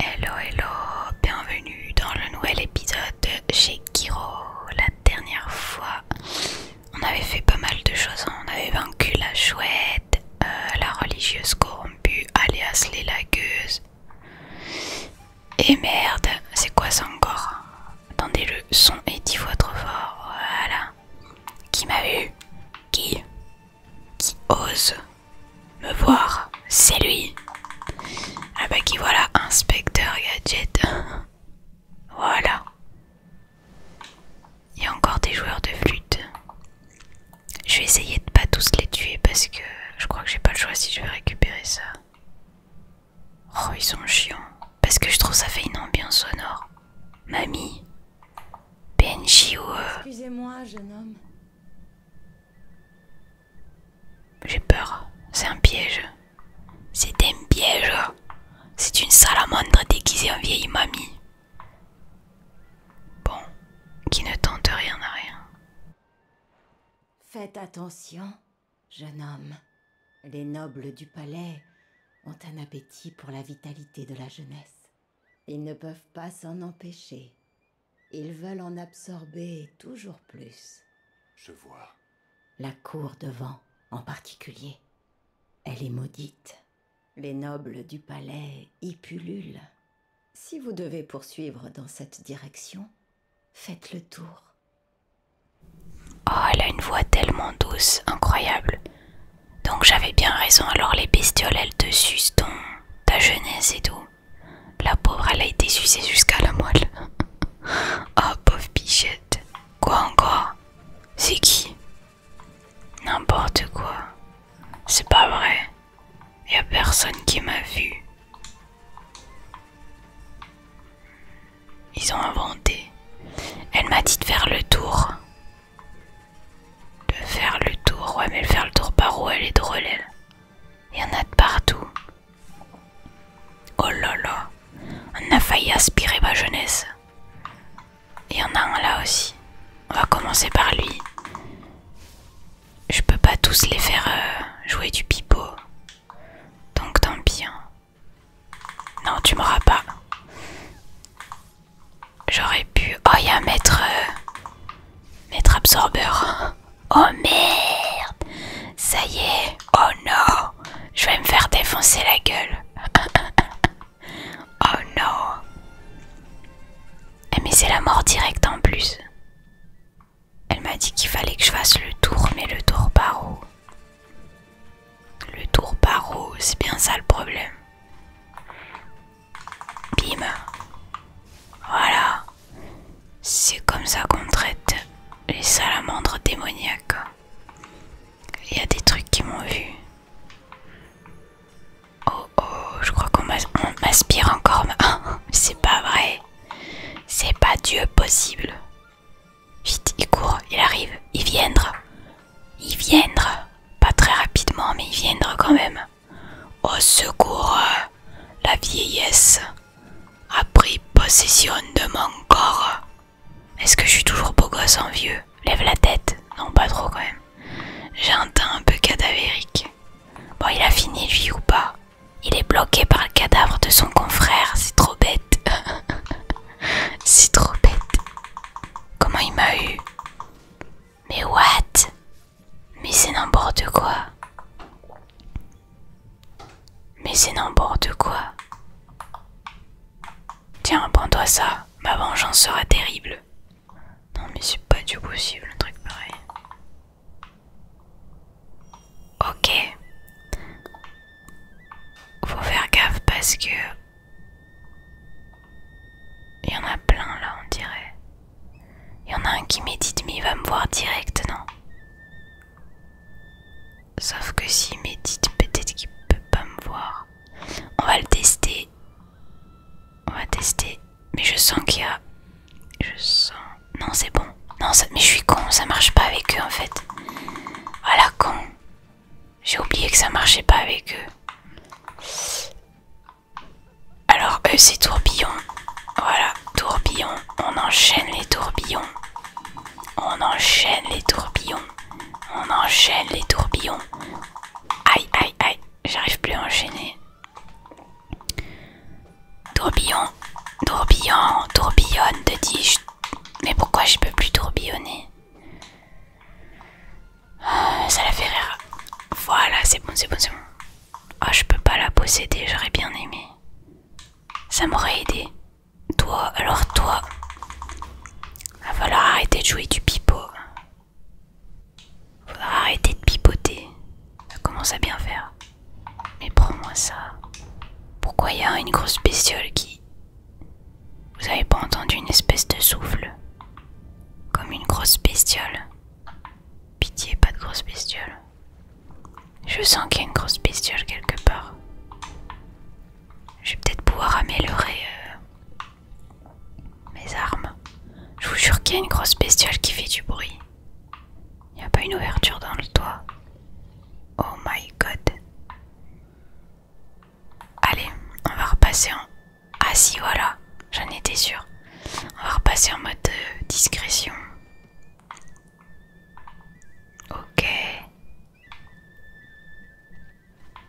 Hello, hello, bienvenue dans le nouvel épisode chez Kiro. La dernière fois, on avait fait pas mal de choses. Hein. On avait vaincu la chouette, euh, la religieuse corrompue, alias les lagueuses. Et merde, c'est quoi ça encore Attendez, le son est dix fois trop fort. Voilà. Qui m'a vu Qui Qui ose me voir C'est lui Ah bah qui voilà, inspecteur gadget Voilà Il y a encore des joueurs de flûte Je vais essayer de pas tous les tuer parce que je crois que j'ai pas le choix si je vais récupérer ça Oh ils sont chiants parce que je trouve ça fait une ambiance sonore Mamie Benji ou... Excusez-moi, jeune homme. J'ai peur. C'est un piège. C'est un piège. C'est une salamandre déguisée en vieille mamie. Bon, qui ne tente rien à rien. Faites attention, jeune homme. Les nobles du palais ont un appétit pour la vitalité de la jeunesse. Ils ne peuvent pas s'en empêcher. Ils veulent en absorber toujours plus. Je vois. La cour devant, vent, en particulier. Elle est maudite. Les nobles du palais y pullulent. Si vous devez poursuivre dans cette direction, faites le tour. Oh, elle a une voix tellement douce, incroyable. Donc j'avais bien raison, alors les bestioles elles te sucent ta jeunesse et tout. La pauvre elle a été sucée jusqu'à la moelle. oh pauvre bichette. Quoi encore C'est qui N'importe quoi. C'est pas vrai. Y a personne qui m'a vu. Ils ont inventé. Elle m'a dit de faire le tour. De faire le tour, ouais mais le faire le tour par où elle est drôle elle. Il y en a de partout. Oh là là, on a failli aspirer ma jeunesse. Il y en a un là aussi. On va commencer par lui. Je peux pas tous les faire euh, jouer du pipeau. Donc tant pis. Hein. Non, tu m'auras pas. J'aurais pu... Oh, il y a maître... Euh, maître absorbeur. Oh merde Ça y est Oh non Je vais me faire défoncer la gueule. oh non eh, Mais c'est la mort directe en plus. Elle m'a dit qu'il fallait que je fasse le tour, mais le tour par où le tour par c'est bien ça le problème. Bim. Voilà. C'est comme ça qu'on traite les salamandres démoniaques. Il y a des trucs qui m'ont vu. Oh oh, je crois qu'on m'aspire encore. Hein, c'est pas vrai. C'est pas Dieu possible. Vite, il court, il arrive, il viendra. Ils viendront, Pas très rapidement, mais ils viendront quand même. Au secours, la vieillesse a pris possession de mon corps. Est-ce que je suis toujours beau gosse en hein, vieux Lève la tête. Non, pas trop quand même. J'ai un peu cadavérique. Bon, il a fini lui ou pas Il est bloqué par le cadavre de son confrère. C'est trop bête. C'est trop bête. Comment il m'a eu mais what Mais c'est n'importe quoi. Mais c'est n'importe quoi. Tiens, prends-toi ça. Ma vengeance sera terrible. Non mais c'est pas du possible un truc pareil. Ok. Faut faire gaffe parce que il y en a plein là, on dirait. Il y en a un qui médite, mais il va me voir direct, non Sauf que s'il médite, peut-être qu'il peut pas me voir. On va le tester. On va tester. Mais je sens qu'il y a. Je sens. Non, c'est bon. Non, ça... mais je suis con, ça marche pas avec eux en fait. Voilà, con. J'ai oublié que ça marchait pas avec eux. Alors eux c'est tourbillon. Voilà, tourbillon. On enchaîne les tourbillons. On enchaîne les tourbillons. On enchaîne les tourbillons. Aïe, aïe, aïe. J'arrive plus à enchaîner. Tourbillon, tourbillon, tourbillonne, te dis-je. Mais pourquoi je peux plus tourbillonner ça la fait rire. Voilà, c'est bon, c'est bon, c'est bon. Ah, je peux pas la posséder, j'aurais bien aimé. Ça m'aurait aidé. Toi, alors toi. Ah, Va falloir arrêter de jouer du pipeau. falloir arrêter de pipoter. Ça commence à bien faire. Mais prends-moi ça. Pourquoi il y a une grosse bestiole qui... Vous avez pas entendu une espèce de souffle Comme une grosse bestiole. Pitié, pas de grosse bestiole. Je sens qu'il y a une grosse bestiole quelque part. Je vais peut-être pouvoir améliorer euh, mes armes. Je vous jure qu'il y a une grosse bestiole qui fait du bruit. Il n'y a pas une ouverture dans le toit. Oh my god. Allez, on va repasser en... Ah si, voilà, j'en étais sûre. On va repasser en mode euh, discrétion. Ok.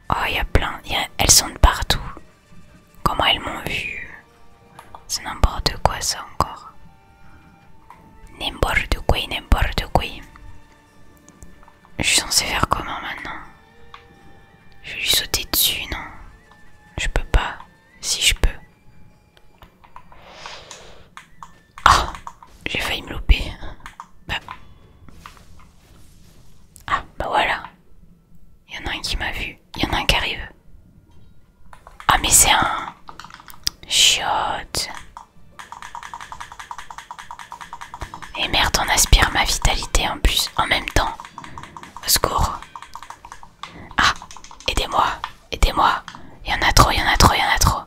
Oh, il y a plein. Elles sont de partout. Comment elles m'ont vu C'est n'importe quoi ça encore. N'importe quoi, n'importe quoi. Je suis censée faire comment maintenant je vais lui sauter dessus, non Je peux pas. Si je peux. Ah J'ai failli me louper. Bah. Ah, bah voilà. Il y en a un qui m'a vu. Il y en a un qui arrive. Ah, mais c'est un. Chiotte. Et merde, on aspire ma vitalité en plus en même temps. Au secours. Ah Aidez-moi Aidez-moi Il y en a trop, il y en a trop, il y en a trop.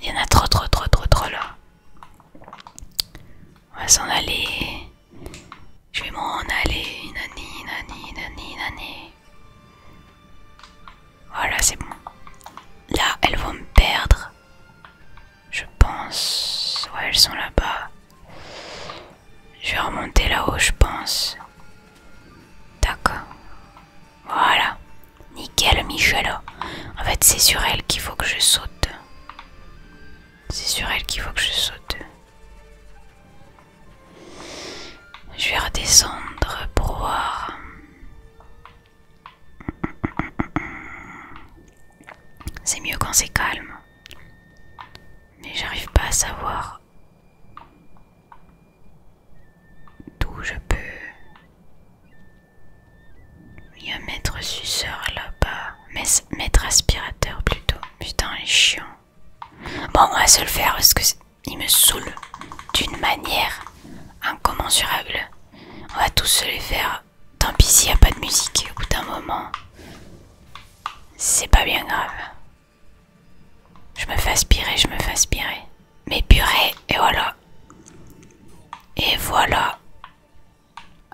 Il y en a trop, trop, trop, trop, trop là. On va s'en aller. Je vais m'en aller. Nani, nani, nani, nani. Voilà, c'est bon. Là, elles vont me perdre. Je pense. Ouais, elles sont là-bas. Je vais remonter là-haut, je pense. D'accord. Voilà. Nickel, michel En fait, c'est sur elle qu'il faut que je saute. C'est sur elle qu'il faut que je saute. Je vais redescendre pour voir. C'est mieux quand c'est calme. Mais j'arrive pas à savoir d'où je peux. Il y a suceur là-bas. Maître aspirateur plutôt. Putain, les chiant. Bon, on va se le faire parce que il me saoule d'une manière incommensurable. On va tous se les faire tant pis s'il n'y a pas de musique écoute un moment. C'est pas bien grave. Je me fais aspirer, je me fais aspirer. Mais purée, et voilà. Et voilà.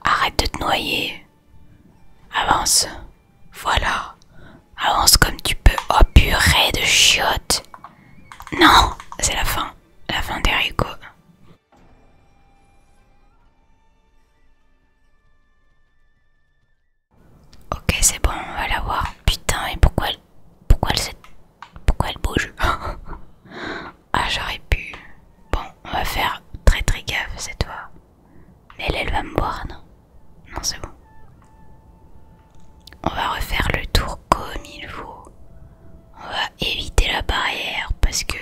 Arrête de te noyer. Avance. Voilà. Avance comme tu peux. Oh purée de chiottes. Non, c'est la fin. La fin des Ok c'est bon on va la voir. Putain mais pourquoi elle pourquoi elle pourquoi elle bouge Ah j'aurais pu. Bon on va faire très très gaffe cette fois. Mais elle elle va me boire non Non c'est bon. On va refaire le tour comme il faut. On va éviter la barrière parce que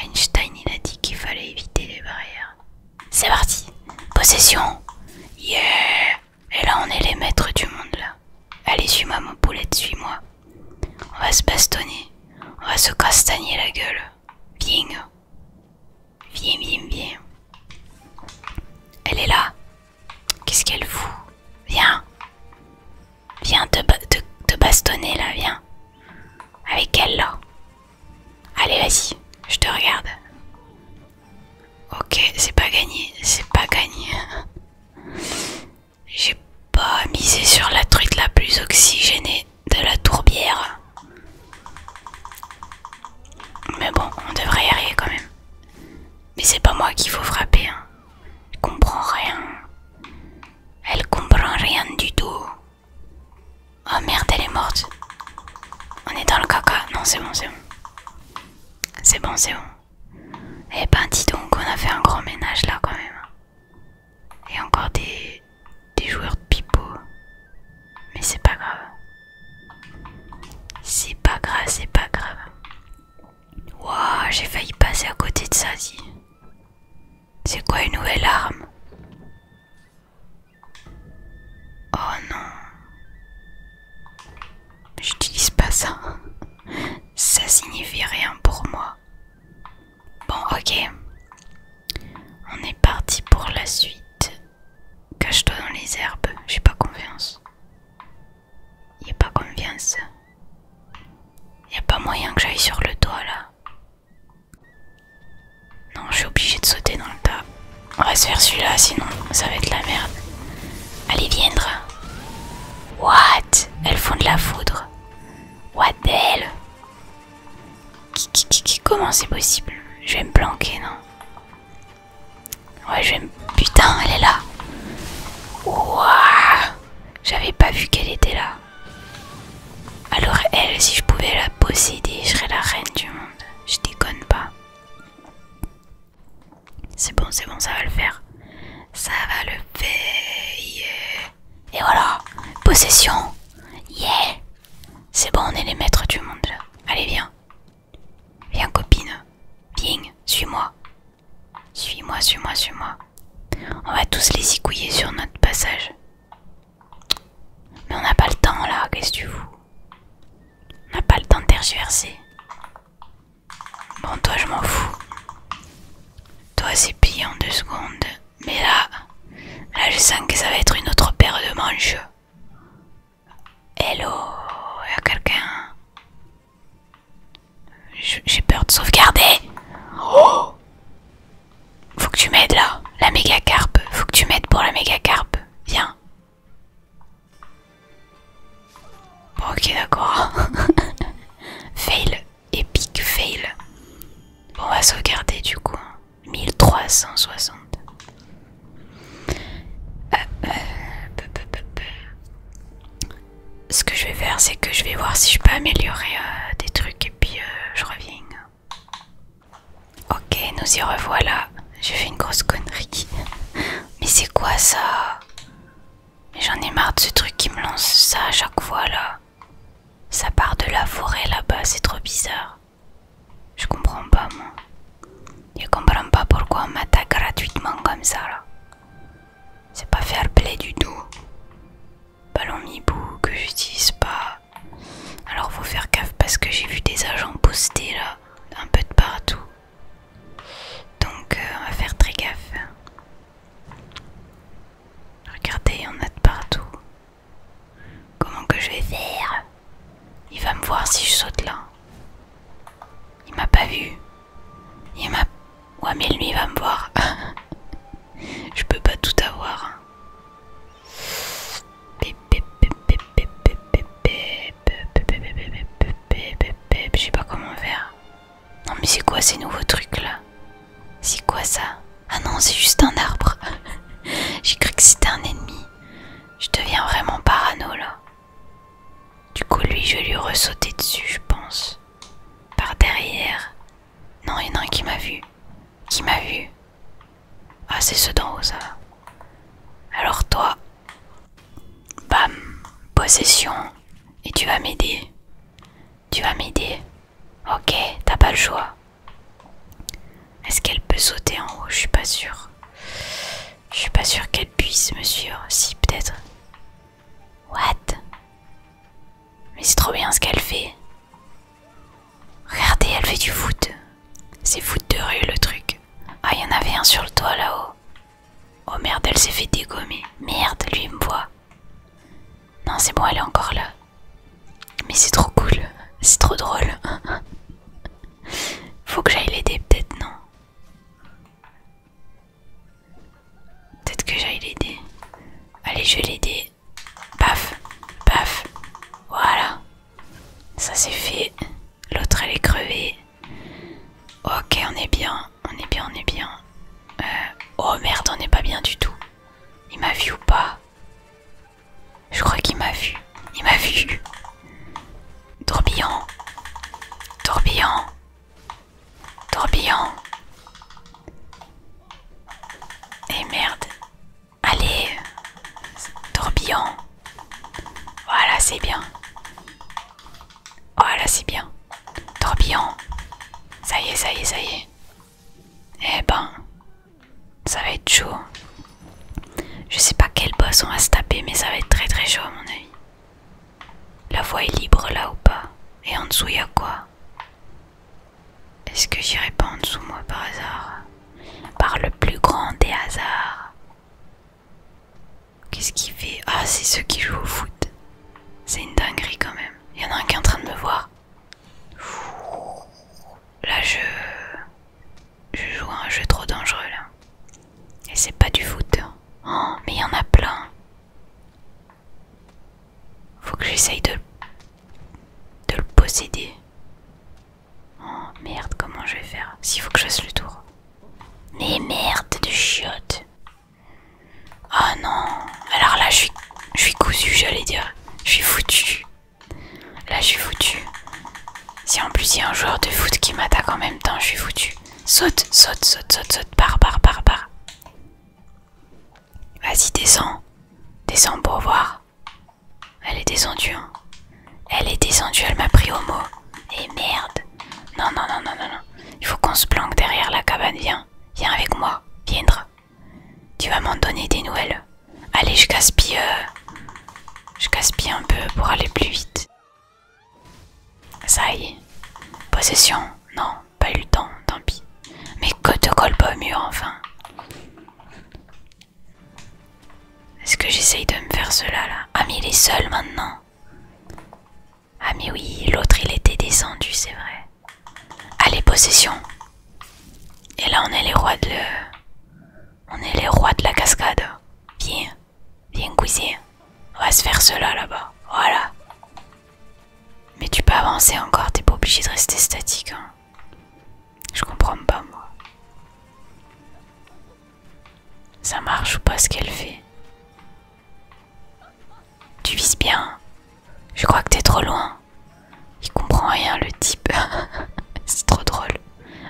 Einstein il a dit qu'il fallait éviter les barrières. C'est parti Possession Yeah Et là on est les maîtres du monde là. Allez suis-moi mon poulet suis-moi. On va se bastonner. On va se castagner la gueule. Viens. Viens, viens, viens. Elle est là. Qu'est-ce qu'elle fout Viens. Viens te, te bastonner là, viens. Avec elle là. Allez, vas-y, je te regarde. Ok, c'est pas gagné, c'est pas gagné. J'ai pas misé sur la truc la plus oxygénée de la tourbière. Mais bon, on devrait y arriver quand même. Mais c'est pas moi qu'il faut frapper. Hein. Elle comprend rien. Elle comprend rien du tout. Oh merde, elle est morte. On est dans le caca. Non, c'est bon, c'est bon. C'est bon, c'est bon. Eh ben, dis donc, on a fait un grand ménage là quand même. Et encore des, des joueurs de pipo Mais c'est pas grave. C'est pas grave, c'est pas grave. Wouah, j'ai failli passer à côté de ça, si. C'est quoi une nouvelle arme Oh non. J'utilise pas ça. Ça signifie rien pour moi. Bon, ok. On est parti pour la suite. Cache-toi dans les herbes, j'ai pas confiance. Y a pas confiance. Y a pas moyen que j'aille sur le toit là. Non, je suis obligée de sauter dans le tas. On va se faire celui-là, sinon ça va être la merde. Allez, viendra. What Elles font de la foudre. What the Comment c'est possible Je vais me planquer, non Ouais, je vais me... Putain, elle est là. Ouah J'avais pas vu qu'elle était là. Alors elle, si je pouvais la posséder, je serais la reine du monde. Je déconne pas. C'est bon, c'est bon, ça va le faire. Ça va le faire. Et voilà, possession. Yeah. C'est bon, on est les maîtres du monde Allez, viens. Viens, copine. Bing. suis-moi. Suis-moi, suis-moi, suis-moi. On va tous les écouiller sur notre passage. Mais on n'a pas le temps là, qu'est-ce que tu fous On n'a pas le temps de tergiverser. Bon, toi, je m'en fous. Toi, c'est pillé en deux secondes. Mais là, là, je sens que ça va être une autre paire de manches. Hello, y'a quelqu'un J'ai peur de sauvegarder. Oh faut que tu m'aides là, la méga carpe. Faut que tu m'aides pour la méga carpe. Viens. Bon, ok, d'accord. fail. Epic fail. Bon, on va sauvegarder du coup. 1360. Euh, euh, Ce que je vais faire, c'est que je vais voir si je peux améliorer euh, des trucs et puis je reviens. Ok, nous y revoilà. J'ai fait une grosse connerie. Mais c'est quoi ça Mais j'en ai marre de ce truc qui me lance ça à chaque fois là. Ça part de la forêt là-bas, c'est trop bizarre. Je comprends pas moi. Je comprends pas pourquoi on m'attaque gratuitement comme ça là. C'est pas fair play du tout ballon mibou que j'utilise pas. Alors faut faire gaffe parce que j'ai vu des agents postés là, un peu de partout. Donc euh, on va faire très gaffe. Regardez, il y en a de partout. Comment que je vais faire Il va me voir si je saute là. Il m'a pas vu. Il m'a... Ouais mais lui il va me voir. je peux pas tout avoir. Hein. Je sais pas comment faire. Non mais c'est quoi ces nouveaux trucs là C'est quoi ça Ah non c'est juste un arbre. J'ai cru que c'était un ennemi. Je deviens vraiment parano là. Du coup lui je vais lui ressauter dessus je pense. Par derrière. Non, il y en a un qui m'a vu. Qui m'a vu Ah, c'est ceux d'en haut, ça. Alors toi, bam, possession, et tu vas m'aider. Tu vas m'aider. Ok, t'as pas le choix. Est-ce qu'elle peut sauter en haut Je suis pas sûre. Je suis pas sûre qu'elle puisse Monsieur. Si, peut-être. What Mais c'est trop bien ce qu'elle fait. Regardez, elle fait du foot. C'est foot de rue le truc. Ah, il y en avait un sur le toit là-haut. Oh merde, elle s'est fait dégommer. Merde, lui il me voit. Non, c'est bon, elle est encore là. Mais c'est trop cool. C'est trop drôle. Faut que j'aille l'aider peut-être, non Peut-être que j'aille l'aider. Allez, je vais l'aider paf, paf, voilà, ça c'est fait, l'autre elle est crevée, ok on est bien, on est bien, on est bien, euh, oh merde on n'est pas bien du tout, il m'a vu ou pas Je crois qu'il m'a vu, il m'a vu, tourbillon, tourbillon, tourbillon, et eh, merde, Allez, tourbillon. Voilà, c'est bien. Voilà, c'est bien. Tourbillon. Ça y est, ça y est, ça y est. Eh ben, ça va être chaud. Je sais pas quel boss on va se taper, mais ça va être très très chaud à mon avis. La voie est libre là ou pas Et en dessous, il y a quoi est-ce que j'irai pas en dessous moi par hasard Par le plus grand des hasards Qu'est-ce qu'il fait Ah c'est ceux qui jouent au foot. C'est une dinguerie quand même. Il y en a un qui est en train de me voir. Là je... Je joue un jeu trop dangereux là. Et c'est pas du foot. Hein. Oh, mais il y en a plein. Faut que j'essaye de... de le posséder. Oh merde, comment je vais faire S'il faut que je fasse le tour. Mais merde de chiottes. Oh non. Alors là, je suis, je cousu, j'allais dire. Je suis foutu. Là, je suis foutu. Si en plus il y a un joueur de foot qui m'attaque en même temps, je suis foutu. Saute, saute, saute, saute, saute, par, par, par, par. Vas-y, descends. Descends pour voir. Elle est descendue, hein. Elle est descendue, elle m'a pris au mot. Et merde. Non, non, non, non, non, non. Il faut qu'on se planque derrière la cabane. Viens, viens avec moi. Viendre. Tu vas m'en donner des nouvelles. Allez, je gaspille. Euh, je gaspille un peu pour aller plus vite. Ça y est. Possession. Non, pas eu le temps, tant pis. Mais que te colle pas au mur, enfin. Est-ce que j'essaye de me faire cela là Ah mais il est seul maintenant Ah oui, l'autre il était descendu, c'est vrai. Allez, possession Et là on est les rois de le... On est les rois de la cascade. Viens, viens cuisin. On va se faire cela là-bas. Voilà. Mais tu peux avancer encore, t'es pas obligé de rester statique. Hein. Je comprends pas, moi. Ça marche ou pas ce qu'elle fait Tu vises bien. Je crois que t'es trop loin. Il comprend rien, le type. C'est trop drôle.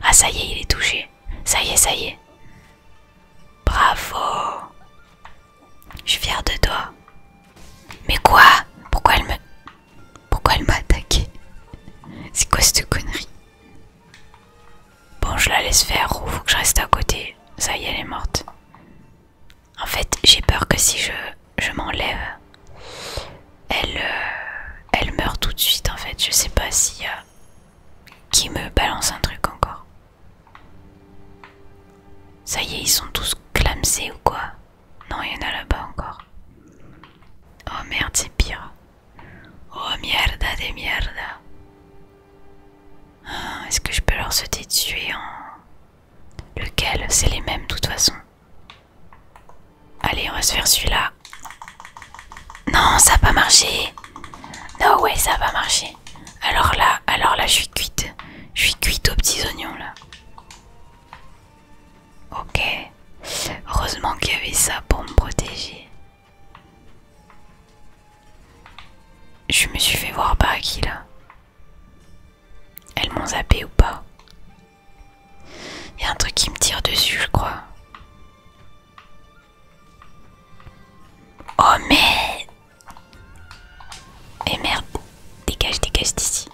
Ah, ça y est, il est touché. Ça y est, ça y est. Bravo. Je suis fière de toi. Mais quoi Pourquoi elle me... Pourquoi elle m'a attaqué C'est quoi cette connerie Bon, je la laisse faire faut que je reste à côté. Ça y est, elle est morte. En fait, j'ai peur que si je, m'enlève, elle, euh, meurt tout de suite. En fait, je sais pas s'il y a qui me balance un truc encore. Ça y est, ils sont tous clamsés ou quoi non, il y en a là-bas encore. Oh merde, c'est pire. Oh merde des merdes. Hein, est-ce que je peux leur sauter tuer en... Lequel C'est les mêmes, de toute façon. Allez, on va se faire celui-là. Non, ça n'a pas marché. Non, ouais, ça va pas marché. Alors là, alors là, je suis cuite. Je suis cuite aux petits oignons, là. Ok. Heureusement qu'il y avait ça pour me protéger. Je me suis fait voir par qui là Elles m'ont zappé ou pas Il y a un truc qui me tire dessus, je crois. Oh mais... Et eh, merde, dégage, dégage d'ici.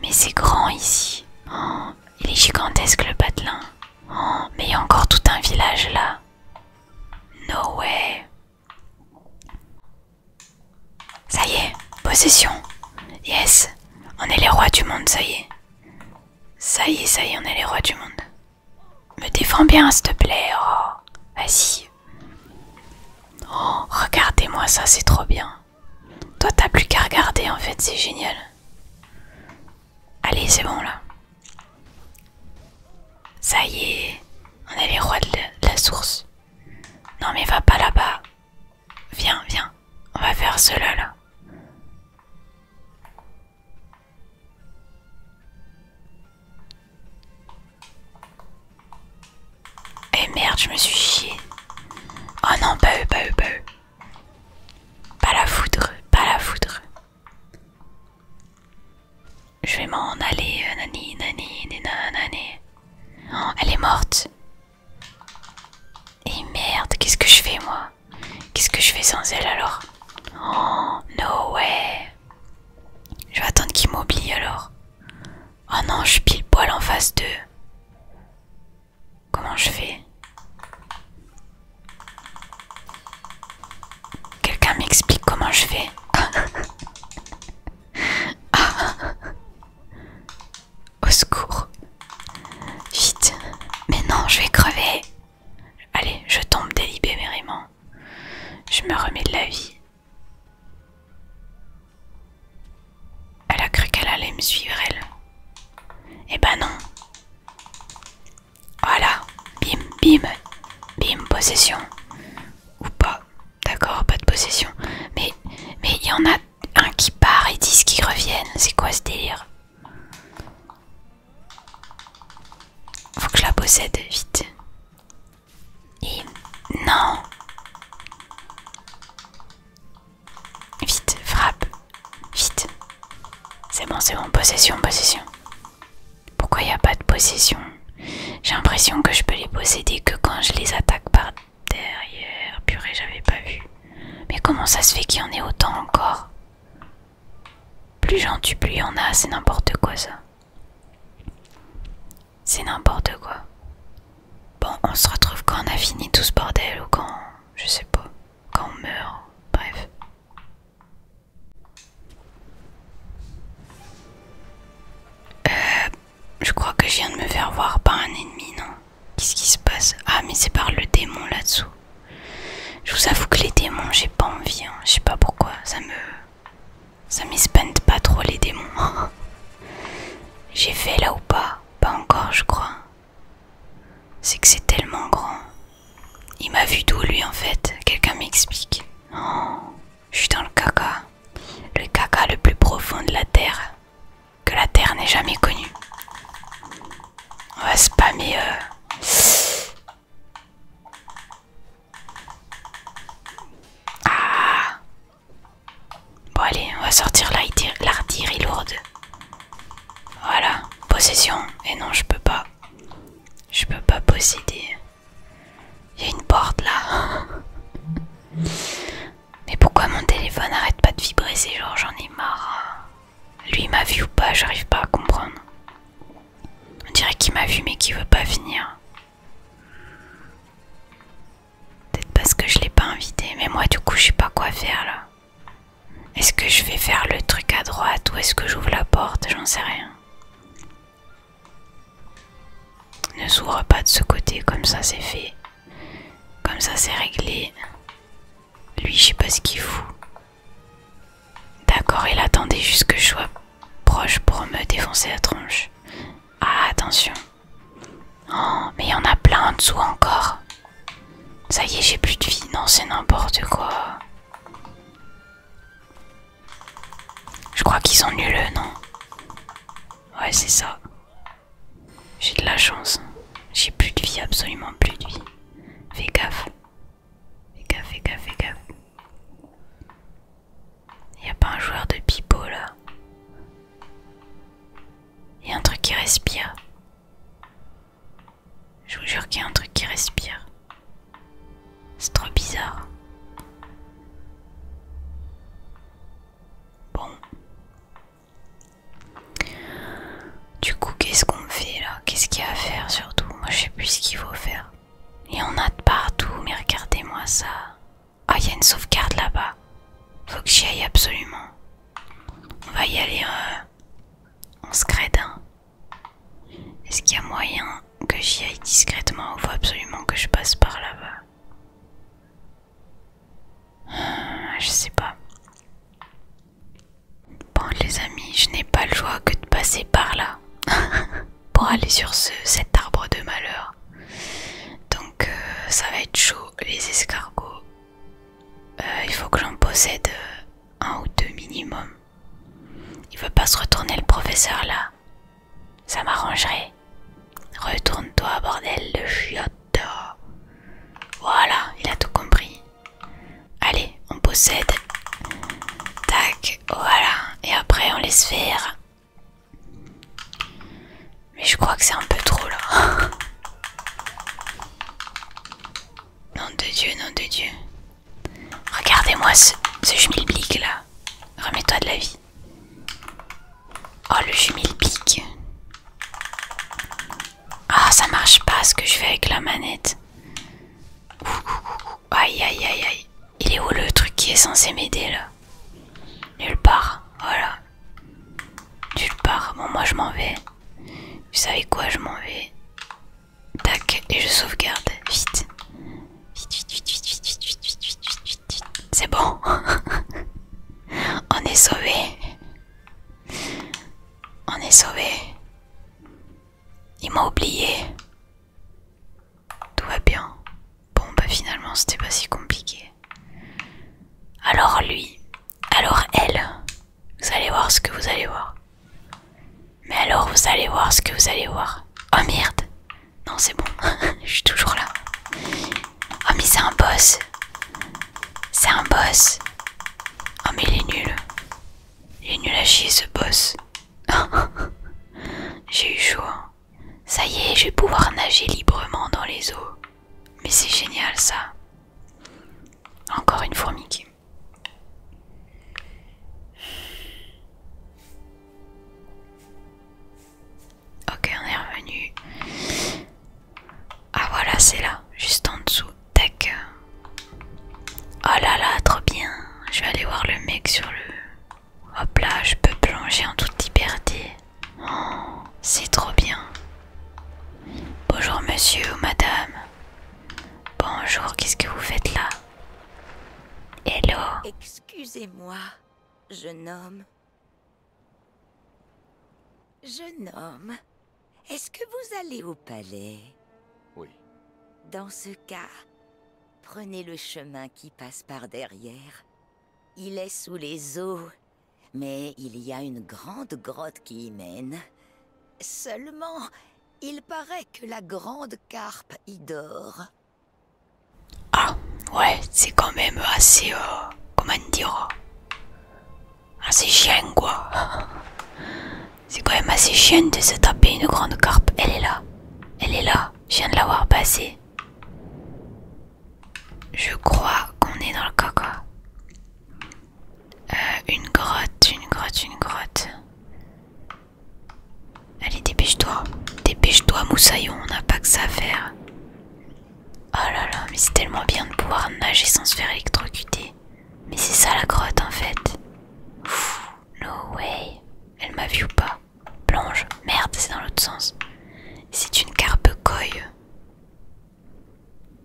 Mais c'est grand ici. Oh. Il est gigantesque le patelin. Oh, mais il y a encore tout un village là. No way. Ça y est, possession. Yes, on est les rois du monde, ça y est. Ça y est, ça y est, on est les rois du monde. Me défends bien, s'il te plaît. Oh, vas-y. Oh, regardez-moi ça, c'est trop bien. Toi, t'as plus qu'à regarder en fait, c'est génial. Allez, c'est bon là. Ça y est, on est les rois de la source. Non, mais va pas là-bas. Viens, viens, on va faire cela là. Eh merde, je me suis chié. Oh non, pas eux, pas eux, pas eux. Pas la foudre, pas la foudre. Je vais m'en aller, euh, nani, nani, nani, oh, elle est morte. Et merde, qu'est-ce que je fais moi Qu'est-ce que je fais sans elle alors Oh, no way. Je vais attendre qu'il m'oublie, alors. Oh non, je pile poil en face d'eux. Comment je fais Quelqu'un m'explique comment je fais Au secours. Vite. Mais non, je vais crever. Allez, je tombe délibérément. Je me remets de la vie. Elle a cru qu'elle allait me suivre, elle. Eh ben non. Voilà. Bim, bim. Bim, possession. Ou pas. D'accord, pas de possession. Mais mais il y en a un qui part et disent qui reviennent. C'est quoi ce délire Faut que je la possède, vite. Et... Non Vite, frappe. Vite. C'est bon, c'est bon. Possession, possession. Pourquoi il n'y a pas de possession J'ai l'impression que je peux les posséder que quand je les attaque par derrière. Purée, j'avais pas vu. Mais comment ça se fait qu'il y en ait autant encore Plus j'en tue, plus y en a. C'est n'importe quoi ça. C'est n'importe quoi. Bon, on se retrouve quand on a fini tout ce bordel ou quand... Je sais pas quand on meurt, bref. Euh, je crois que je viens de me faire voir par un ennemi, non Qu'est-ce qui se passe Ah, mais c'est par le démon là-dessous. Je vous avoue que les démons, j'ai pas envie. Hein. Je sais pas pourquoi. Ça me. Ça m'espante pas trop les démons. j'ai fait là ou pas Pas encore, je crois. C'est que c'est tellement grand. Il m'a vu d'où lui en fait Quelqu'un m'explique. Oh, je suis dans le caca. Le caca le plus profond de la Terre. Que la Terre n'ait jamais connu. On va spammer... Euh. Ah Bon allez, on va sortir l'artillerie lourde. Voilà, possession. Et non, je peux pas. Je peux pas posséder. Il y a une porte là. Mais pourquoi mon téléphone arrête pas de vibrer ces jours J'en ai marre. Hein. Lui m'a vu ou pas, j'arrive pas à comprendre. On dirait qu'il m'a vu mais qu'il veut pas venir. Peut-être parce que je l'ai pas invité, mais moi du coup je sais pas quoi faire là. Est-ce que je vais faire le truc à droite ou est-ce que j'ouvre la porte J'en sais rien. Ne s'ouvre pas de ce côté, comme ça c'est fait. Comme ça c'est réglé. Lui, je sais pas ce qu'il fout. D'accord, il attendait juste que je sois proche pour me défoncer la tronche. Ah, attention. Oh, mais il y en a plein en dessous encore. Ça y est, j'ai plus de vie. Non, c'est n'importe quoi. Je crois qu'ils sont nuls, non Ouais, c'est ça. J'ai de la chance. J'ai plus de vie, absolument plus de vie. Fais gaffe. Fais gaffe, fais gaffe, fais gaffe. Y a pas un joueur de pipo là. Y a un truc qui respire. Je vous jure qu'il y a un truc qui respire. C'est trop bizarre. Bon. Du coup, qu'est-ce qu'on fait là Qu'est-ce qu'il y a à faire surtout Moi, je sais plus ce qu'il faut faire. Il y en a de partout, mais regardez-moi ça. Ah, il y a une sauvegarde là-bas. Faut que j'y aille absolument. On va y aller. Euh, on se d'un. Est-ce qu'il y a moyen que j'y aille discrètement ou faut absolument que je passe par là-bas ah, Je sais pas. Bon les amis, je n'ai pas le choix que de passer par là pour aller sur cet arbre de malheur. Donc euh, ça va être chaud les escargots. Euh, il faut que j'en possède euh, un ou deux minimum. Il veut pas se retourner le professeur là. Ça m'arrangerait. Retourne-toi, bordel de chiotte. Voilà, il a tout compris. Allez, on possède. Tac, voilà. Et après, on laisse faire. Mais je crois que c'est un peu trop là. Nom de Dieu, nom de Dieu. Regardez-moi ce, ce là. Remets-toi de la vie. Oh, le jumelblick. Ah, ça marche pas ce que je fais avec la manette. Aïe, aïe, aïe, aïe. Il est où le truc qui est censé m'aider là Nulle part. Voilà. Nulle part. Bon, moi je m'en vais. Vous savez quoi, je m'en vais. Tac, et je sauvegarde. Vite. Vite, vite, vite, vite, vite, vite, vite, vite, vite, vite, vite, vite. C'est bon. On est sauvés. On est sauvés. Il m'a oublié. Tout va bien. Bon, bah finalement, c'était pas si compliqué. Alors lui, alors elle, vous allez voir ce que vous allez voir. Mais alors vous allez voir ce que vous allez voir. Oh merde Non c'est bon, je suis toujours là. Oh mais c'est un boss. C'est un boss. Oh mais il est nul. Il est nul à chier ce boss. j'ai eu chaud. Ça y est, je vais pouvoir nager librement dans les eaux. Mais c'est génial ça. Encore une fourmi qui... Ok, on est revenu. Ah voilà, c'est là, juste en dessous. Tac. Oh là là, trop bien. Je vais aller voir le mec sur le... Hop là, je peux plonger en toute liberté. Oh, c'est trop bien. Bonjour monsieur ou madame. Bonjour, qu'est-ce que vous faites là Hello Excusez-moi, jeune homme. Jeune homme, est-ce que vous allez au palais Oui. Dans ce cas, prenez le chemin qui passe par derrière. Il est sous les eaux, mais il y a une grande grotte qui y mène, Seulement, il paraît que la grande carpe y dort. Ah, ouais, c'est quand même assez... Euh, comment dire Assez chien, quoi. C'est quand même assez chien de se taper une grande carpe. Elle est là. Elle est là. Je viens de l'avoir passée. Je crois qu'on est dans le caca. Euh, une grotte, une grotte, une grotte. Allez, dépêche-toi. Dépêche-toi, moussaillon, on n'a pas que ça à faire. Oh là là, mais c'est tellement bien de pouvoir nager sans se faire électrocuter. Mais c'est ça la grotte en fait. no way. Elle m'a vu ou pas Plonge. Merde, c'est dans l'autre sens. C'est une carpe coille.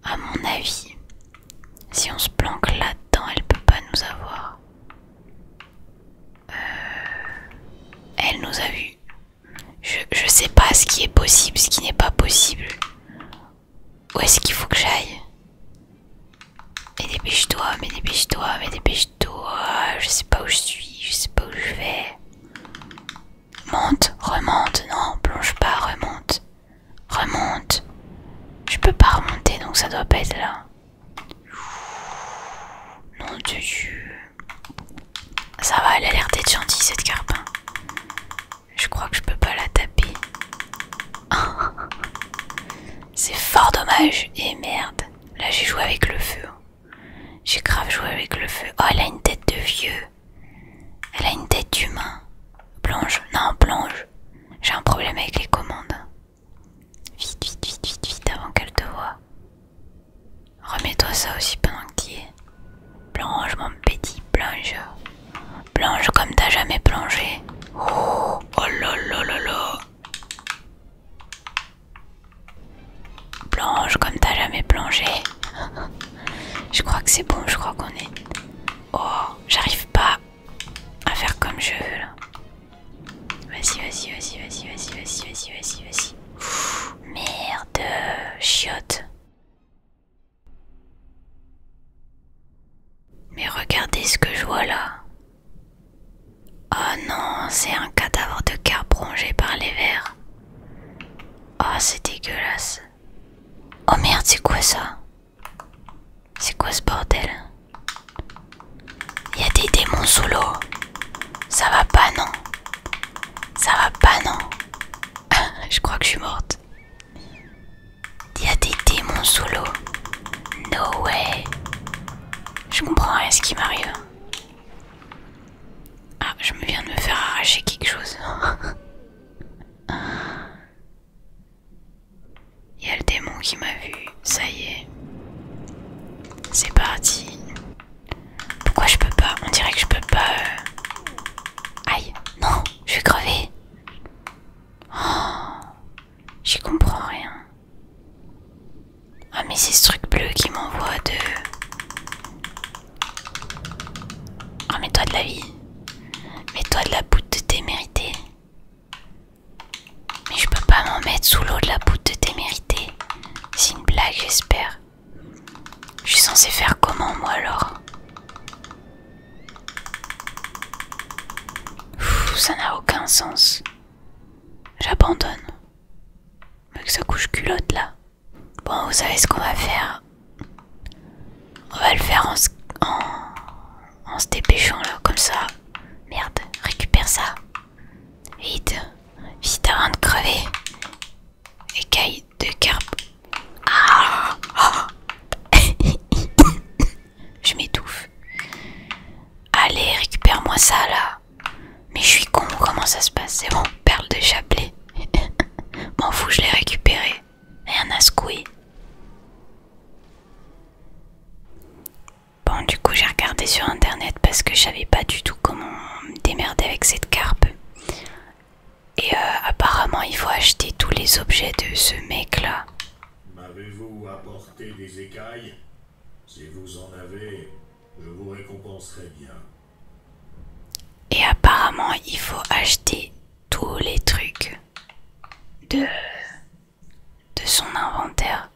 À mon avis, si on se planque là-dedans, elle peut pas nous avoir. Euh, elle nous a vus. Je, ne sais pas ce qui est possible, ce qui n'est pas possible. Où est-ce qu'il faut que j'aille Mais dépêche-toi, mais dépêche-toi, mais dépêche-toi. Je sais pas où je suis, je sais pas où je vais. Monte, remonte, non, plonge pas, remonte. Remonte. Je peux pas remonter, donc ça doit pas être là. Non Dieu. Ça va, elle a l'air d'être gentille cette carpin. Hein. Je crois que je peux pas la taper. C'est fort dommage. Et eh, merde. Là j'ai joué avec le feu. Hein. J'ai grave joué avec le feu. Oh elle a une tête de vieux. Elle a une tête d'humain. Plonge. Non, plonge. J'ai un problème avec les commandes. Vite, vite, vite, vite, vite, avant qu'elle te voit. Remets-toi ça aussi pendant que y es. Plonge, mon petit, plonge. Plonge comme t'as jamais plongé. Oh, oh là là là là. Plonge comme t'as jamais plongé. je crois que c'est bon, je crois qu'on est. Oh, j'arrive pas à faire comme je veux là. Vas-y, vas-y, vas-y, vas-y, vas-y, vas-y, vas-y, vas-y, vas-y. Merde, chiotte. Mais regardez ce que je vois là. Oh non, c'est un cadavre de carpe rongé par les vers. Oh, c'est dégueulasse. Oh merde, c'est quoi ça c'est quoi ce bordel Il y a des démons sous l'eau. Ça va pas, non Ça va pas, non Je crois que je suis morte. Il y a des démons sous l'eau. No way. Je comprends rien ce qui m'arrive. Ah, je me viens de me faire arracher quelque chose. Il y a le démon qui m'a vu, ça y est. C'est parti. Pourquoi je peux pas On dirait que je peux pas... Euh, aïe, non, je vais crever. Oh, j'y comprends rien. Ah mais c'est ce truc bleu qui m'envoie de... Ah mais toi de la vie. Mais toi de la boute de témérité. Mais je peux pas m'en mettre sous l'eau de la boute de témérité. C'est une blague, j'espère. Je suis censé faire comment, moi, alors Ça n'a aucun sens. J'abandonne. Mec ça couche culotte, là. Bon, vous savez ce qu'on va faire. On va le faire en, en, en se dépêchant là, comme ça. Merde, récupère ça. Vite, vite avant de crever. Écaille de carpe. Ah, je m'étouffe. Allez, récupère-moi ça là. Mais je suis con, comment ça se passe C'est bon, perle de chapelet. M'en fous, je l'ai récupéré. Rien à un Bon, du coup, j'ai regardé sur internet parce que je savais pas du tout comment me démerder avec cette carpe. Et euh, apparemment, il faut acheter tous les objets de ce mec-là. M'avez-vous apporté des écailles Si vous en avez, je vous récompenserai bien. Et apparemment, il faut acheter tous les trucs de, son inventaire.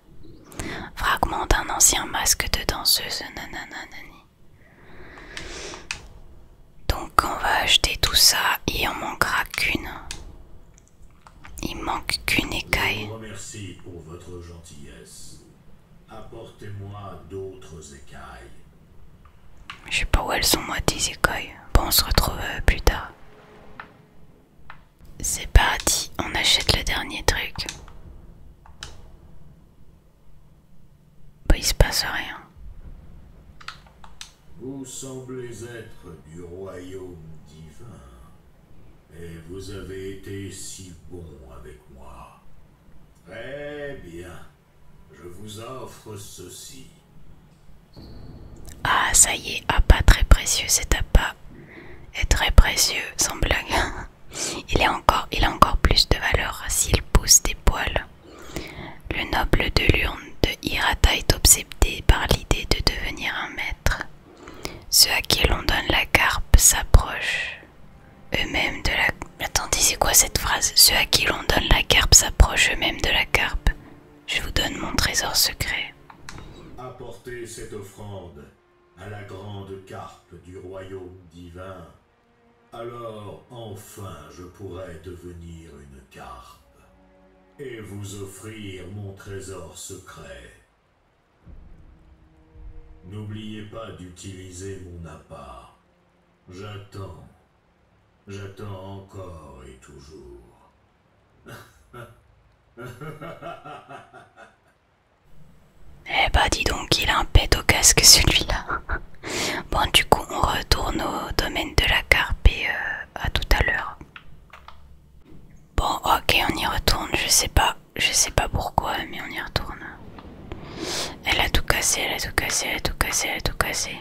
Fragment d'un ancien masque de danseuse. nanananani Donc on va acheter tout ça et en manquera qu'une. Il manque qu'une écaille. gentillesse. Apportez-moi d'autres écailles. Je sais pas où elles sont moi, des écailles. Bon, on se retrouve euh, plus tard. C'est parti, on achète le dernier truc. Bah, il se passe rien. Vous semblez être du royaume divin. Et vous avez été si bon avec moi. Très bien. Je vous offre ceci. Ah, ça y est, ah, pas très précieux, cet appât est très précieux, sans blague. Il, encore, il a encore plus de valeur s'il pousse des poils. Le noble de l'urne de Hirata est obsédé par l'idée de devenir un maître. Ceux à qui l'on donne la carpe s'approche. eux-mêmes de la... Attendez, c'est quoi cette phrase Ceux à qui l'on donne la carpe s'approchent eux-mêmes de la carpe je vous donne mon trésor secret. Apportez cette offrande à la grande carpe du royaume divin. Alors enfin je pourrai devenir une carpe et vous offrir mon trésor secret. N'oubliez pas d'utiliser mon appât. J'attends. J'attends encore et toujours. Eh bah dis donc, il a un pet au casque celui-là. Bon du coup on retourne au domaine de la carpe et euh, à tout à l'heure. Bon ok on y retourne, je sais pas, je sais pas pourquoi mais on y retourne. Elle a tout cassé, elle a tout cassé, elle a tout cassé, elle a tout cassé.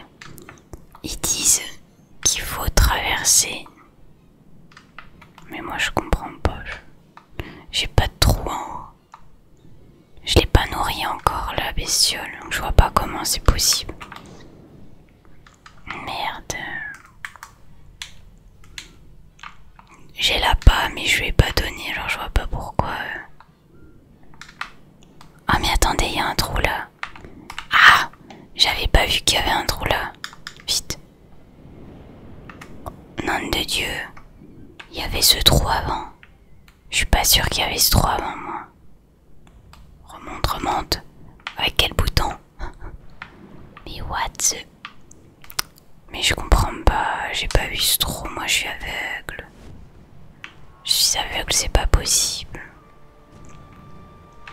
Ils disent qu'il faut traverser. Mais moi je comprends pas. J'ai pas de trou en haut. Je l'ai pas nourri encore la bestiole, je vois pas comment c'est possible. Merde. J'ai la pas, mais je lui ai pas donné, alors je vois pas pourquoi. Ah, mais attendez, il y a un trou là. Ah J'avais pas vu qu'il y avait un trou là. Vite. Nom de Dieu. Il y avait ce trou avant. Je suis pas sûr qu'il y avait ce trou avant moi. Remonte, remonte. Avec quel bouton Mais what the... Mais je comprends pas. J'ai pas vu ce trou. Moi je suis aveugle. Je suis aveugle, c'est pas possible.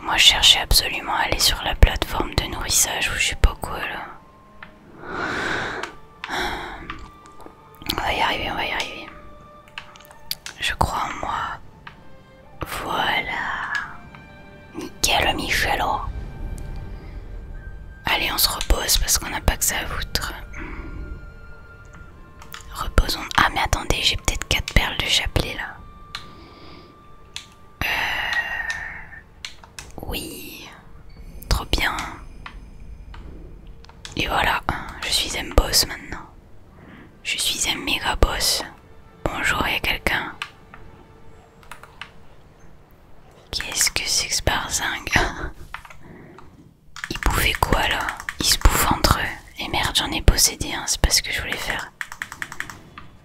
Moi je cherchais absolument à aller sur la plateforme de nourrissage où je sais pas quoi là. On va y arriver, on va y arriver. Je crois en moi. Voilà. Nickel Michelot. Allez, on se repose parce qu'on n'a pas que ça à foutre. Reposons. Ah mais attendez, j'ai peut-être 4 perles de chapelet là. Euh, oui, trop bien. Et voilà, je suis un boss maintenant. Je suis un méga boss. Bonjour, il y a quelqu'un. Qu'est-ce que c'est que ce barzingue Ils quoi là Ils se bouffent entre eux. Et merde, j'en ai possédé un, c'est pas ce que je voulais faire.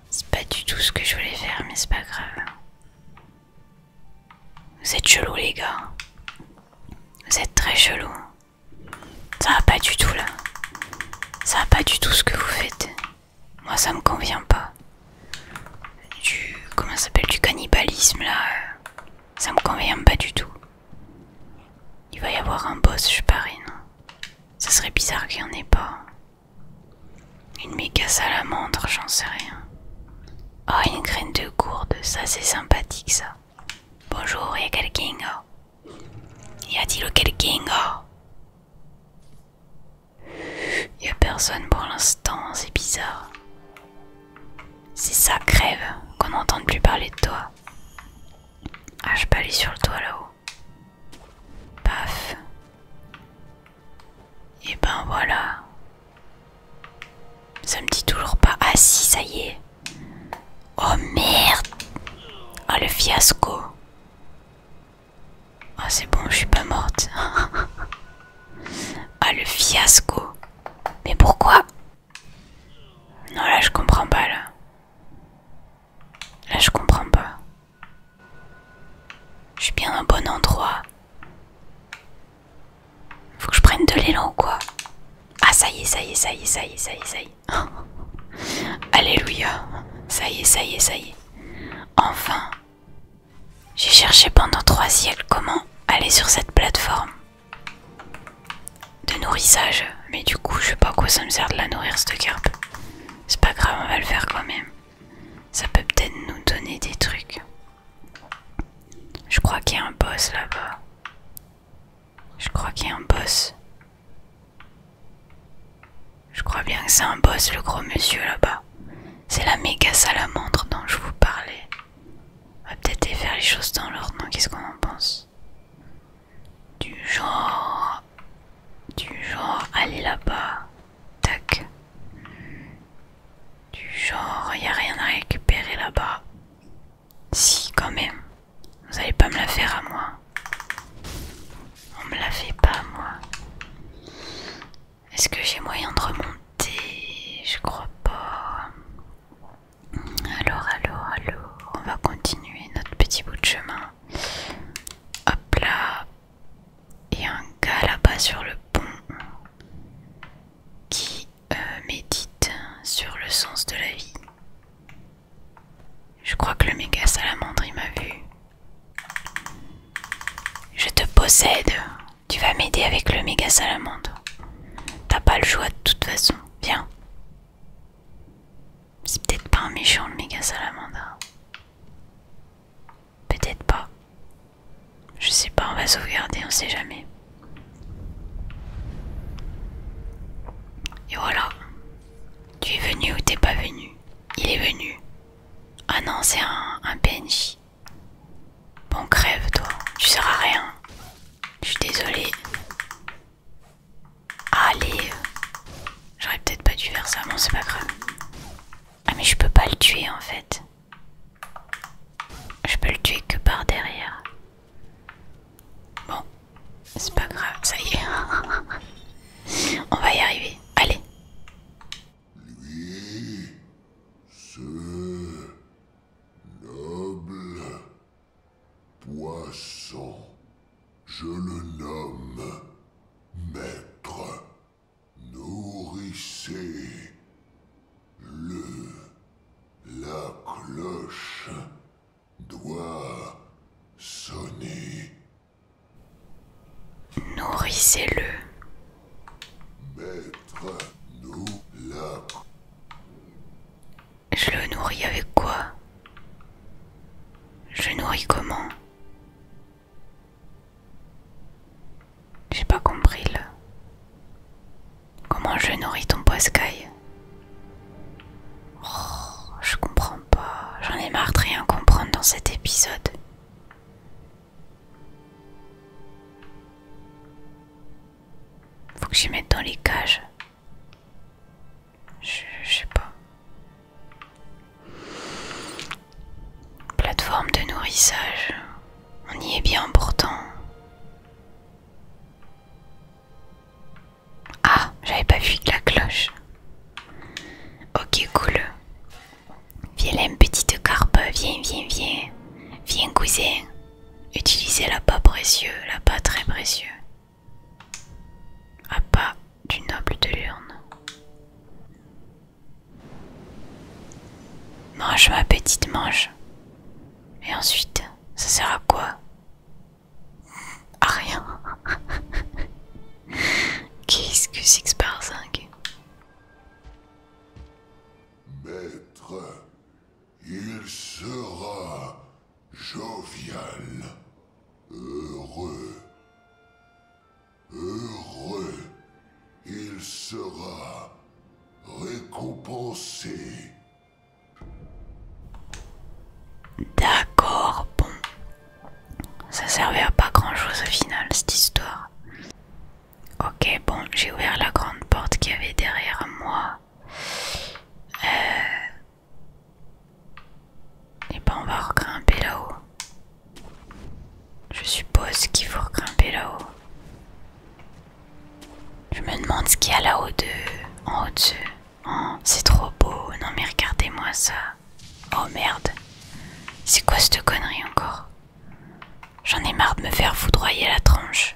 C'est pas du tout ce que je voulais faire, mais c'est pas grave. Vous êtes chelous, les gars. Vous êtes très chelou Ça va pas du tout là. Ça va pas du tout ce que vous faites. Moi, ça me convient pas. Du. Comment s'appelle Du cannibalisme là. Euh, ça me convient pas du tout. Il va y avoir un boss, je parie, non ça serait bizarre qu'il n'y en ait pas. Une à la montre j'en sais rien. Oh, une graine de gourde, ça c'est sympathique ça. Bonjour, y'a quelqu'un oh. Y a-t-il quelqu'un oh? Y'a personne pour l'instant, c'est bizarre. C'est ça, crève, qu'on n'entende plus parler de toi. Ah, je peux aller sur le toit là-haut. Paf. Et ben voilà. Ça me dit toujours pas. Ah si, ça y est. Oh merde. Ah le fiasco. Ah c'est bon, je suis pas morte. ah le fiasco. Mais pourquoi Non là je comprends pas là. Là je comprends pas. Je suis bien au bon endroit. Faut que je prenne de l'élan ou quoi Ah ça y est, ça y est, ça y est, ça y est, ça y est, ça Alléluia. Ça y est, ça y est, ça y est. Enfin. J'ai cherché pendant trois siècles comment aller sur cette plateforme de nourrissage. Mais du coup, je sais pas à quoi ça me sert de la nourrir cette carpe. C'est pas grave, on va le faire quand même. Ça peut peut-être nous donner des trucs. Je crois qu'il y a un boss là-bas. Je crois qu'il y a un boss. Je crois bien que c'est un boss, le gros monsieur là-bas. C'est la méga salamandre dont je vous parlais. On va peut-être faire les choses dans l'ordre, non Qu'est-ce qu'on en pense du genre... Du genre, allez là-bas. Tac. Du genre, il a rien à récupérer là-bas. Si, quand même. Vous allez pas me la faire à moi. On me la fait pas, à moi. Est-ce que j'ai moyen de remonter Je crois pas. Alors, alors, alors, on va continuer notre petit bout de chemin. Hop là. Il y a un gars là-bas sur le pont qui euh, médite sur le sens de la vie. Je crois que le méga salamandre il m'a vu. Je te possède. Tu vas m'aider avec le méga salamandre. T'as pas le choix de toute façon. Viens. C'est peut-être pas un méchant le méga salamandre. Peut-être pas. Je sais pas, on va sauvegarder, on sait jamais. Et voilà. Tu es venu ou t'es pas venu Il est venu. Ah non, c'est un, PNJ. Bon, crève, toi. Tu seras rien. Je suis désolée. Allez J'aurais peut-être pas dû faire ça, bon c'est pas grave. Ah mais je peux pas le tuer en fait. Je peux le tuer que par derrière. Bon, c'est pas grave, ça y est. On va y arriver, allez. Lui, ce noble poisson je le nomme Maître. Nourrissez le. La cloche doit sonner. Nourrissez-le. Maître, nous la. Je le nourris avec quoi Je nourris comment j'ai pas compris là. Comment je nourris ton poiscaille oh, je comprends pas. J'en ai marre de rien comprendre dans cet épisode. Faut que j'y mette dans les cages. Je, sais pas. Plateforme de nourrissage. On y est bien pourtant. Ah, j'avais pas vu que la cloche. Ok, cool. Viens, petite carpe, viens, viens, viens. Viens, cousin. Utilisez la précieux, la très précieux. Appât ah, pas du noble de l'urne. Mange ma petite, mange. Et ensuite, ça sert à quoi À rien. Qu'est-ce que six par 5 Maître, il sera jovial, heureux. Heureux, il sera récompensé. D'accord, bon. Ça servait à pas grand chose au final, cette histoire. Ok, bon, j'ai ouvert la grande porte qu'il y avait derrière moi. Euh, et eh bah ben, on va regrimper là-haut. Je suppose qu'il faut regrimper là-haut. Je me demande ce qu'il y a là-haut de... en haut de oh, c'est trop beau. Non mais regardez-moi ça. Oh merde. C'est quoi cette connerie encore J'en ai marre de me faire foudroyer la tronche.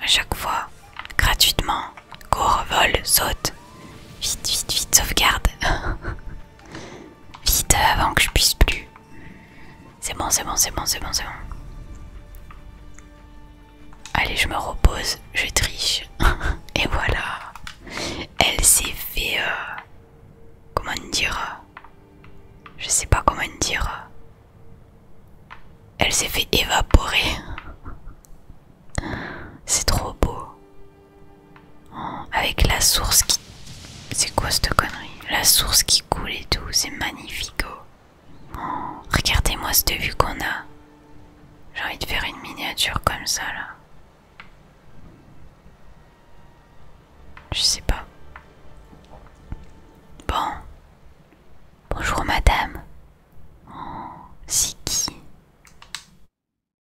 À chaque fois. Gratuitement. Cours, vol, saute. Vite, vite, vite, sauvegarde. Vite avant que je puisse plus. C'est bon, c'est bon, c'est bon, c'est bon, c'est bon. Allez, je me repose, je triche. Et voilà. Elle s'est fait... Euh, comment dire Je sais pas comment dire. Elle s'est fait évaporer. C'est trop beau avec la source qui... C'est quoi cette connerie La source qui coule et tout, c'est magnifique. Oh. Regardez-moi cette vue qu'on a. J'ai envie de faire une miniature comme ça là. Je sais pas. Bon. Bonjour madame. Oh, c'est qui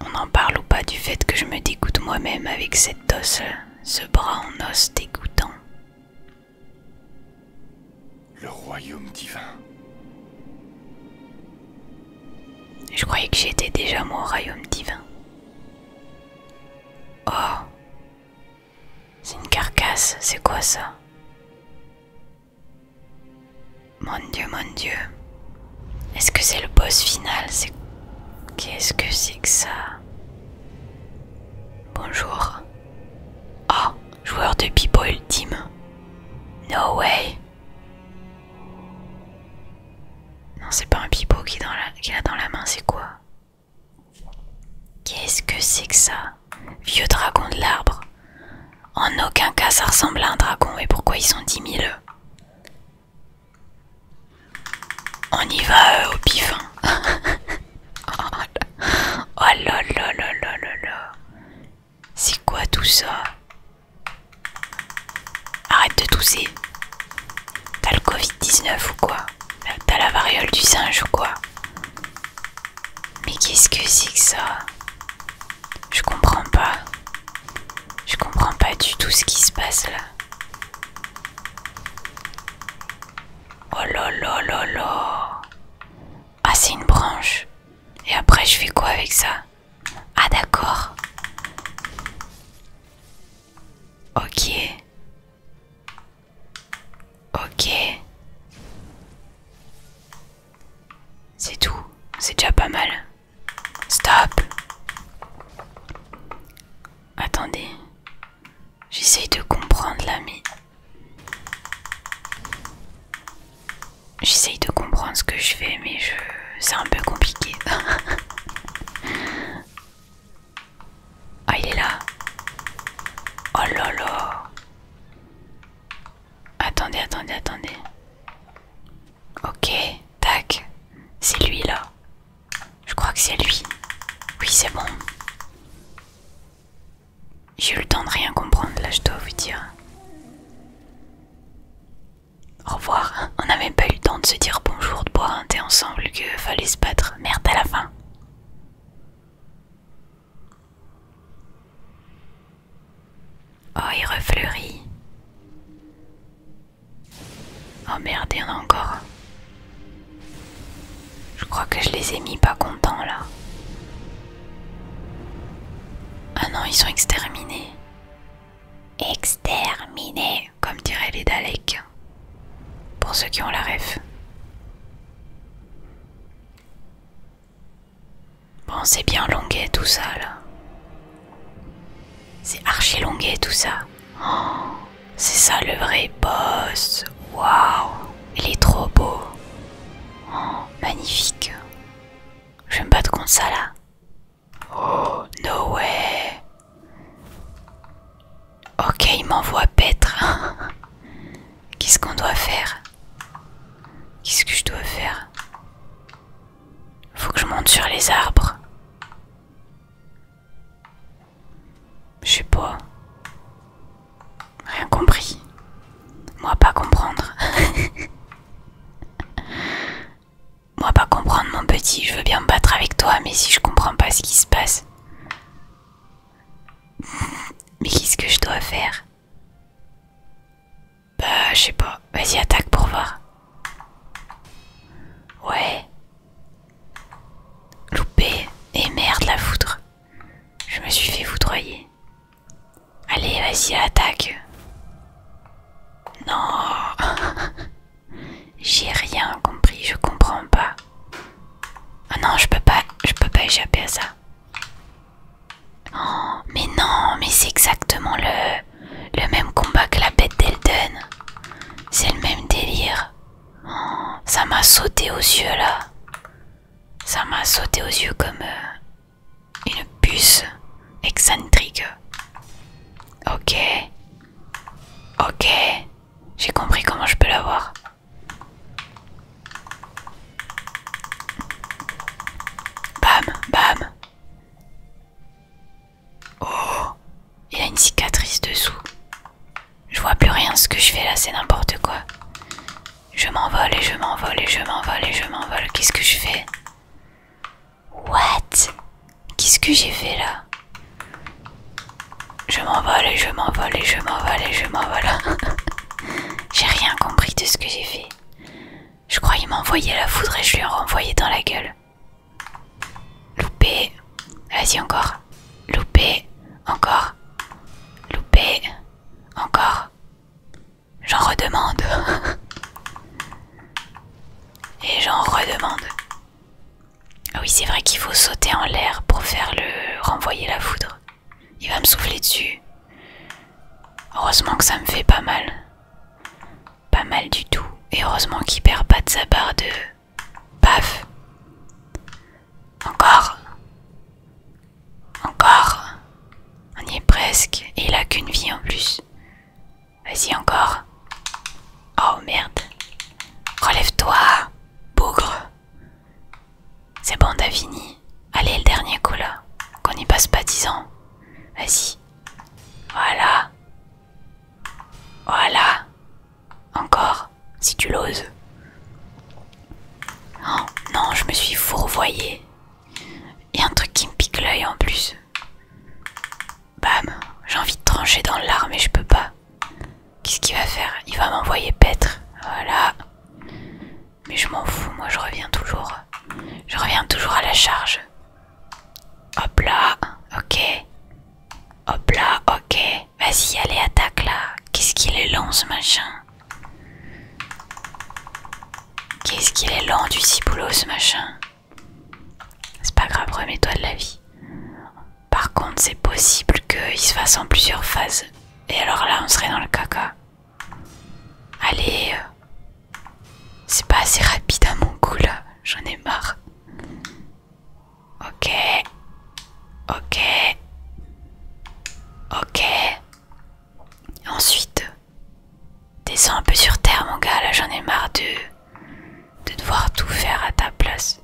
On en parle ou pas du fait que je me dégoûte moi-même avec cette os, ce bras en os dégoûtant. Le royaume divin. Je croyais que j'étais déjà mon royaume divin. Oh, c'est une carcasse, c'est quoi ça Mon dieu, mon dieu. Est-ce que c'est le boss final Qu'est-ce que c'est que ça Bonjour. Oh, joueur de pipo ultime. No way. Non, c'est pas un pipo qu'il a dans la main, c'est quoi Qu'est-ce que c'est que ça Vieux dragon de l'arbre. En aucun cas ça ressemble à un dragon et pourquoi ils sont dix On y va euh, au pifin. Hein. oh là là là là là là. C'est quoi tout ça Arrête de tousser. T'as le Covid-19 ou quoi T'as la variole du singe ou quoi Mais qu'est-ce que c'est que ça Je comprends pas. Je comprends pas du tout ce qui se passe là. Oh là là là Ah c'est une branche. Et après je fais quoi avec ça Ah d'accord. Ok. Ok. C'est tout. C'est déjà pas mal. Stop. Attendez. J'essaye de comprendre l'ami. J'essaye de comprendre ce que je fais, mais je... C'est un peu compliqué. Ah, il est là. Oh là là. Attendez, attendez, attendez. Ok, tac. C'est lui là. Je crois que c'est lui. Oui, c'est bon. J'ai eu le temps de rien comprendre là, je dois vous dire. Au revoir. On n'avait même pas eu le temps de se dire bonjour, de boire un thé ensemble, que fallait se battre. Merde à la fin. Oh, il refleurit. Oh merde, il y en a encore. Je crois que je les ai mis pas contents là. Ah non, ils sont exterminés. Exterminés, comme diraient les Daleks pour ceux qui ont la ref. Bon, c'est bien longuet tout ça là. C'est archi longuet tout ça. Oh, c'est ça le vrai boss. Waouh, il est trop beau. Oh, magnifique. Je vais me battre contre ça là. Oh, no way. Ok, il m'envoie pêtre. Qu'est-ce qu'on doit faire Qu'est-ce que je dois faire Faut que je monte sur les arbres. Je sais pas. Rien compris. Moi pas comprendre. Moi pas comprendre mon petit, je veux bien me battre avec toi, mais si je comprends pas ce qui se passe, mais qu'est-ce que je dois faire Bah, je sais pas. Vas-y, attaque pour voir. Ouais. Loupé. Et merde, la foutre Je me suis fait foudroyer. Allez, vas-y, attaque. Non. J'ai rien compris, je comprends pas. Ah non, je peux pas, je peux pas échapper à ça. Oh, mais non, mais c'est exactement le, le même combat que la bête d'Elden. C'est le même délire. Oh, ça m'a sauté aux yeux là. Ça m'a sauté aux yeux comme euh, une puce excentrique. Ok. Ok. J'ai compris comment je peux l'avoir. Bam, bam. Oh, il y a une cicatrice dessous. Je vois plus rien, ce que je fais là, c'est n'importe quoi. Je m'envole et je m'envole et je m'envole et je m'envole. Qu'est-ce que je fais What Qu'est-ce que j'ai fait là je m'envole et je m'envole et je m'envole et je m'envole. j'ai rien compris de ce que j'ai fait. Je croyais m'envoyer la foudre et je lui ai renvoyé dans la gueule. Loupé. Vas-y encore. Loupé. Encore. Loupé. Encore. J'en redemande. et j'en redemande. Ah oui, c'est vrai qu'il faut sauter en l'air pour faire le renvoyer la foudre. Il va me souffler dessus. Heureusement que ça me fait pas mal. Pas mal du tout. Et heureusement qu'il perd pas de sa barre de... Paf Encore Encore On y est presque. Et il a qu'une vie en plus. Vas-y encore. Oh merde. Relève-toi, bougre. C'est bon, t'as fini. Allez, le dernier coup là. Qu'on n'y passe pas dix ans. Vas-y. Voilà. Voilà. Encore, si tu l'oses. Oh, non, je me suis fourvoyée. Il y a un truc qui me pique l'œil en plus. Bam, j'ai envie de trancher dans l'art mais je peux pas. Qu'est-ce qu'il va faire Il va m'envoyer paître. Voilà. Mais je m'en fous, moi je reviens toujours. Je reviens toujours à la charge. Hop là, ok. Hop là, ok. Vas-y, allez, attaque là. Qu'est-ce qu'il est lent ce machin Qu'est-ce qu'il est lent du ciboulot ce machin C'est pas grave, remets-toi de la vie. Par contre, c'est possible qu'il se fasse en plusieurs phases. Et alors là, on serait dans le caca. Allez, euh, c'est pas assez rapide à mon goût là, j'en ai marre. Ok, ok, ok. Ensuite, descends un peu sur terre, mon gars, là j'en ai marre de, de devoir tout faire à ta place.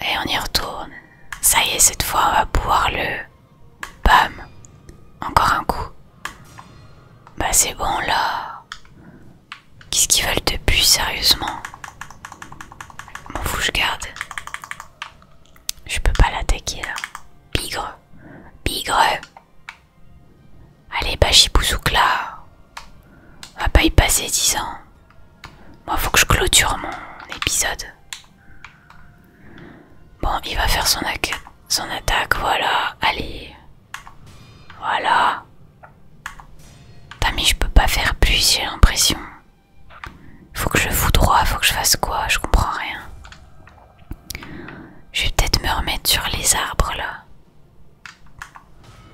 Et on y retourne. Ça y est, cette fois, on va pouvoir le... Bam Encore un coup. Bah c'est bon là. Qu'est-ce qu'ils veulent depuis, sérieusement Mon fous, je garde. Je peux pas l'attaquer là. Bigre Bigre Allez, bah on va pas y passer 10 ans. Moi, faut que je clôture mon épisode. Bon, il va faire son, son attaque, voilà. Allez. Voilà. t'as je peux pas faire plus, j'ai l'impression. Faut que je fous droit, faut que je fasse quoi Je comprends rien. Je vais peut-être me remettre sur les arbres là.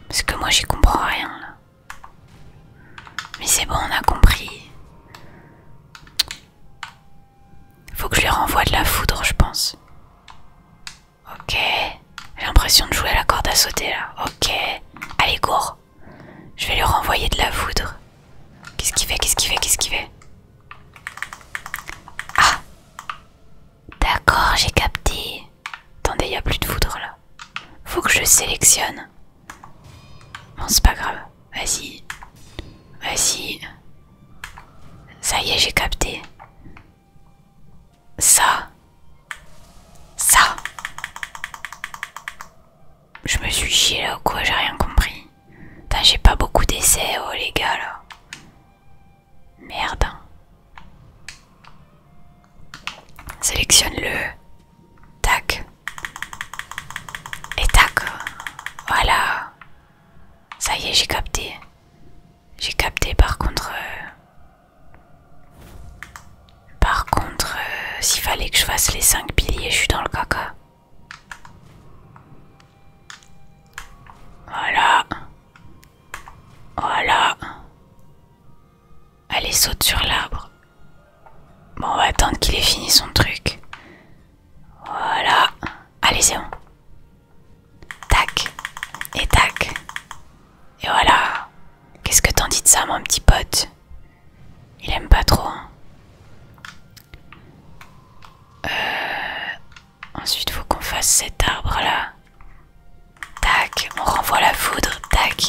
Parce que moi j'y comprends rien là. Mais c'est bon, on a compris. Faut que je lui renvoie de la foudre, je pense. Ok. J'ai l'impression de jouer à la corde à sauter là. Ok. Allez, cours. Je vais lui renvoyer de la foudre. Qu'est-ce qu'il fait Qu'est-ce qu'il fait Qu'est-ce qu'il fait Ah D'accord, j'ai capté. Attendez, y a plus de foudre là. Faut que je sélectionne. Bon, c'est pas grave. Vas-y. Vas-y. Ça y est, j'ai capté. Ça. Ça. Je me suis chié là ou quoi J'ai rien compris. j'ai pas beaucoup d'essais, oh les gars là. Merde. Sélectionne-le. Tac. Et tac. Voilà. Ça y est, j'ai capté. J'ai capté par contre... Euh, par contre, euh, s'il fallait que je fasse les 5 piliers, je suis dans le caca. Voilà. Voilà. Allez, saute sur l'arbre. Bon, on va attendre qu'il ait fini son truc. Voilà. Allez, c'est bon. Tac. Et tac. Et voilà. Qu'est-ce que t'en dis de ça, mon petit pote Il aime pas trop. Hein. Euh, ensuite, faut qu'on fasse cet arbre-là. Tac. On renvoie la foudre. Tac.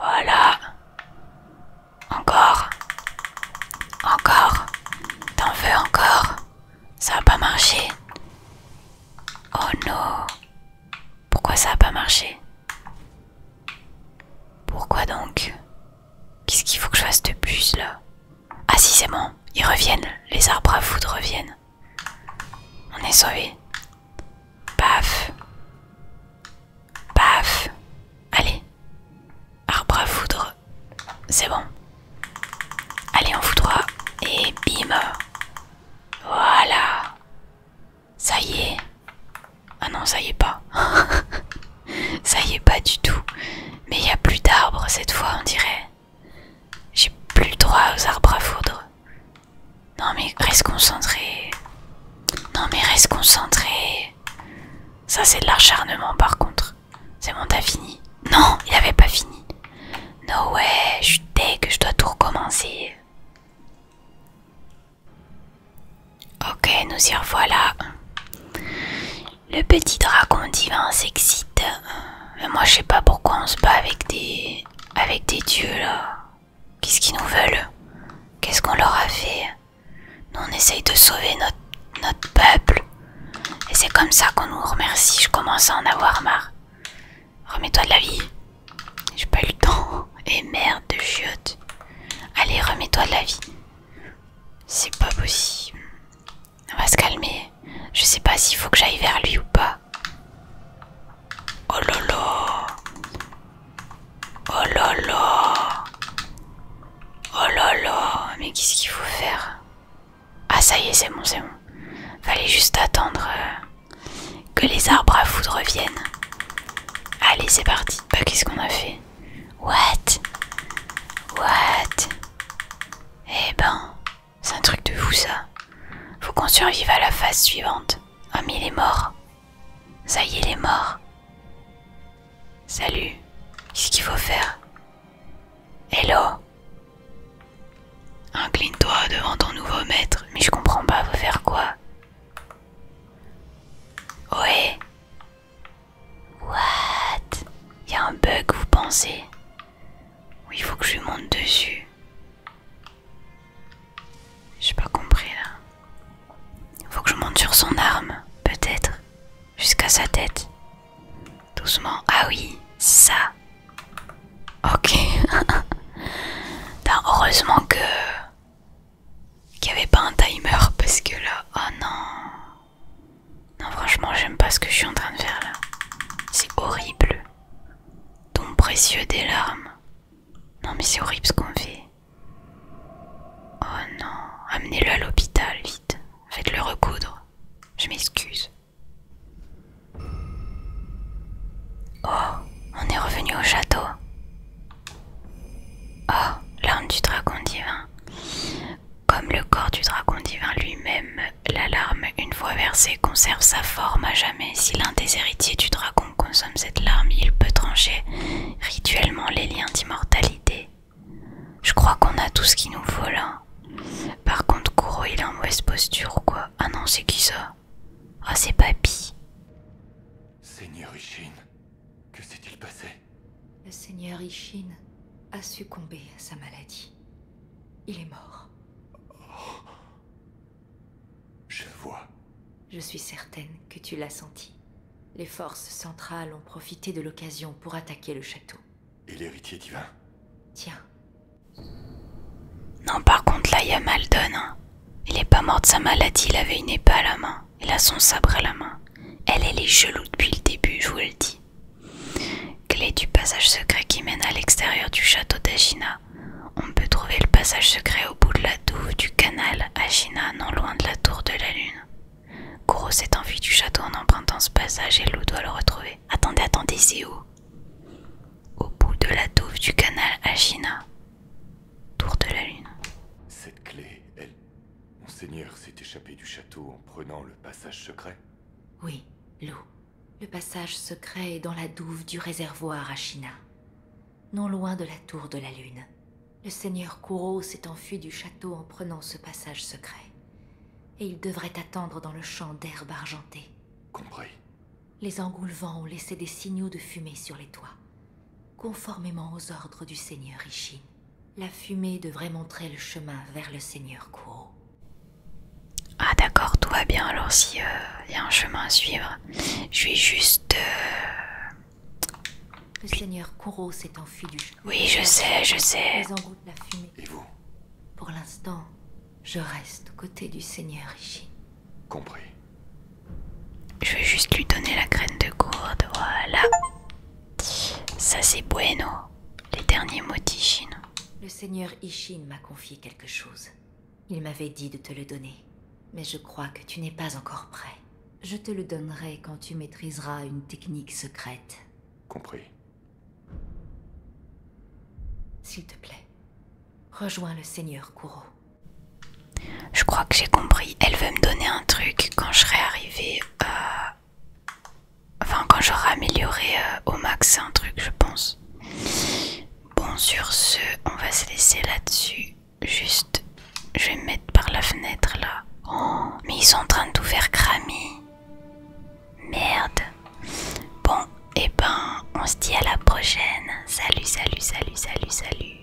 Voilà. Encore. Encore. T'en veux encore Ça va pas marché. Oh non. Pourquoi ça a pas marché Pourquoi donc Qu'est-ce qu'il faut que je fasse de plus là Ah si c'est bon. Ils reviennent. Les arbres à foudre reviennent. On est sauvés. Paf. Paf Allez Arbre à foudre. C'est bon. Allez, on foudra. Et bim Voilà Ça y est Ah non, ça y est pas. ça y est pas du tout. Mais il y a plus d'arbres cette fois, on dirait. J'ai plus le droit aux arbres à foudre. Non mais reste concentré. Non mais reste concentré. Ça c'est de l'acharnement par contre. C'est bon, t'as fini. Non, il avait pas fini. No way, je que je dois tout recommencer. Ok, nous y revoilà. Le petit dragon divin s'excite. Mais moi je sais pas pourquoi on se bat avec des... avec des dieux là. Qu'est-ce qu'ils nous veulent Qu'est-ce qu'on leur a fait Nous, on essaye de sauver notre, peuple. Et c'est comme ça qu'on nous remercie. Je commence à en avoir marre. Remets-toi de la vie. J'ai pas eu le temps. Et merde de chiotte. Allez, remets-toi de la vie. C'est pas possible. On va se calmer. Je sais pas s'il faut que j'aille vers lui ou pas. Oh là là Oh là Oh là là Mais qu'est-ce qu'il faut faire Ah ça y est, c'est bon, c'est bon. Fallait juste attendre euh, que les arbres à foudre reviennent. Allez, c'est parti. Bah, qu'est-ce qu'on a fait What What Eh ben, c'est un truc de fou ça. Faut qu'on survive à la phase suivante. Ah mais il est mort. Ça y est, il est mort. Salut. Qu'est-ce qu'il faut faire Hello Incline-toi devant ton nouveau maître. Mais je comprends pas, faut faire quoi Ouais. What Y'a un bug, vous pensez Oui, il faut que je monte dessus. J'ai pas compris là. Faut que je monte sur son arme, peut-être. Jusqu'à sa tête. Doucement. Ah oui, ça. Ok. heureusement que... Qu'il n'y avait pas un timer parce que là... Oh non. Non franchement j'aime pas ce que je suis en train de faire là. C'est horrible. Ton précieux des larmes. Non mais c'est horrible ce qu'on fait. Oh non, amenez-le à l'hôpital, vite. Faites-le recoudre. Je m'excuse. Oh, on est revenu au château. Oh, l'arme du dragon divin. Comme le corps du dragon divin lui-même, la larme, une fois versée, conserve sa forme à jamais. Si l'un des héritiers du dragon consomme cette larme, il peut trancher rituellement les liens d'immortalité. Je crois qu'on a tout ce qu'il nous faut là. Par contre, Kuro, il a en mauvaise posture ou quoi Ah non, c'est qui ça Ah, c'est Papy. Seigneur Ishin, que s'est-il passé Le Seigneur Ishin a succombé à sa maladie. Il est mort. Oh. Je vois. Je suis certaine que tu l'as senti. Les forces centrales ont profité de l'occasion pour attaquer le château. Et l'héritier divin Tiens. Non, par contre, là, il y a Maldon. Il est pas mort de sa maladie, il avait une épée à la main. Il a son sabre à la main. Elle, est les chelous depuis le début, je vous le dis. Clé du passage secret qui mène à l'extérieur du château d'Agina. On peut trouver le passage secret au bout de la douve du canal à non loin de la tour de la lune. Goro s'est enfui du château en empruntant ce passage et l'eau doit le retrouver. Attendez, attendez, c'est où Au bout de la douve du canal à tour de la lune. Cette clé, elle. Monseigneur s'est échappé du château en prenant le passage secret Oui, l'eau Le passage secret est dans la douve du réservoir Ashina non loin de la tour de la lune. Le seigneur Kuro s'est enfui du château en prenant ce passage secret. Et il devrait attendre dans le champ d'herbe argentée. Compris. Les engoulevants ont laissé des signaux de fumée sur les toits, conformément aux ordres du seigneur Ishin. La fumée devrait montrer le chemin vers le seigneur Kuro. Ah d'accord, tout va bien alors si il euh, y a un chemin à suivre. Je vais juste... Euh, le seigneur Kuro s'est enfui du jeu. Oui, je sais, je sais. Ils de la fumée. Et vous Pour l'instant, je reste aux côtés du seigneur Ishin. Compris. Je vais juste lui donner la graine de gourde, voilà. Ça c'est bueno, les derniers mots d'Ishin. Le seigneur Ishin m'a confié quelque chose. Il m'avait dit de te le donner. Mais je crois que tu n'es pas encore prêt. Je te le donnerai quand tu maîtriseras une technique secrète. Compris. S'il te plaît, rejoins le Seigneur Kuro. Je crois que j'ai compris. Elle veut me donner un truc quand je serai arrivé euh, Enfin, quand j'aurai amélioré euh, au max un truc, je pense. Bon, sur ce, on va se laisser là-dessus. Juste, je vais me mettre par la fenêtre là. Oh, mais ils sont en train de tout faire cramer. Merde. Bon, et eh ben, on se dit à la prochaine. Salut, salut, salut, salut, salut.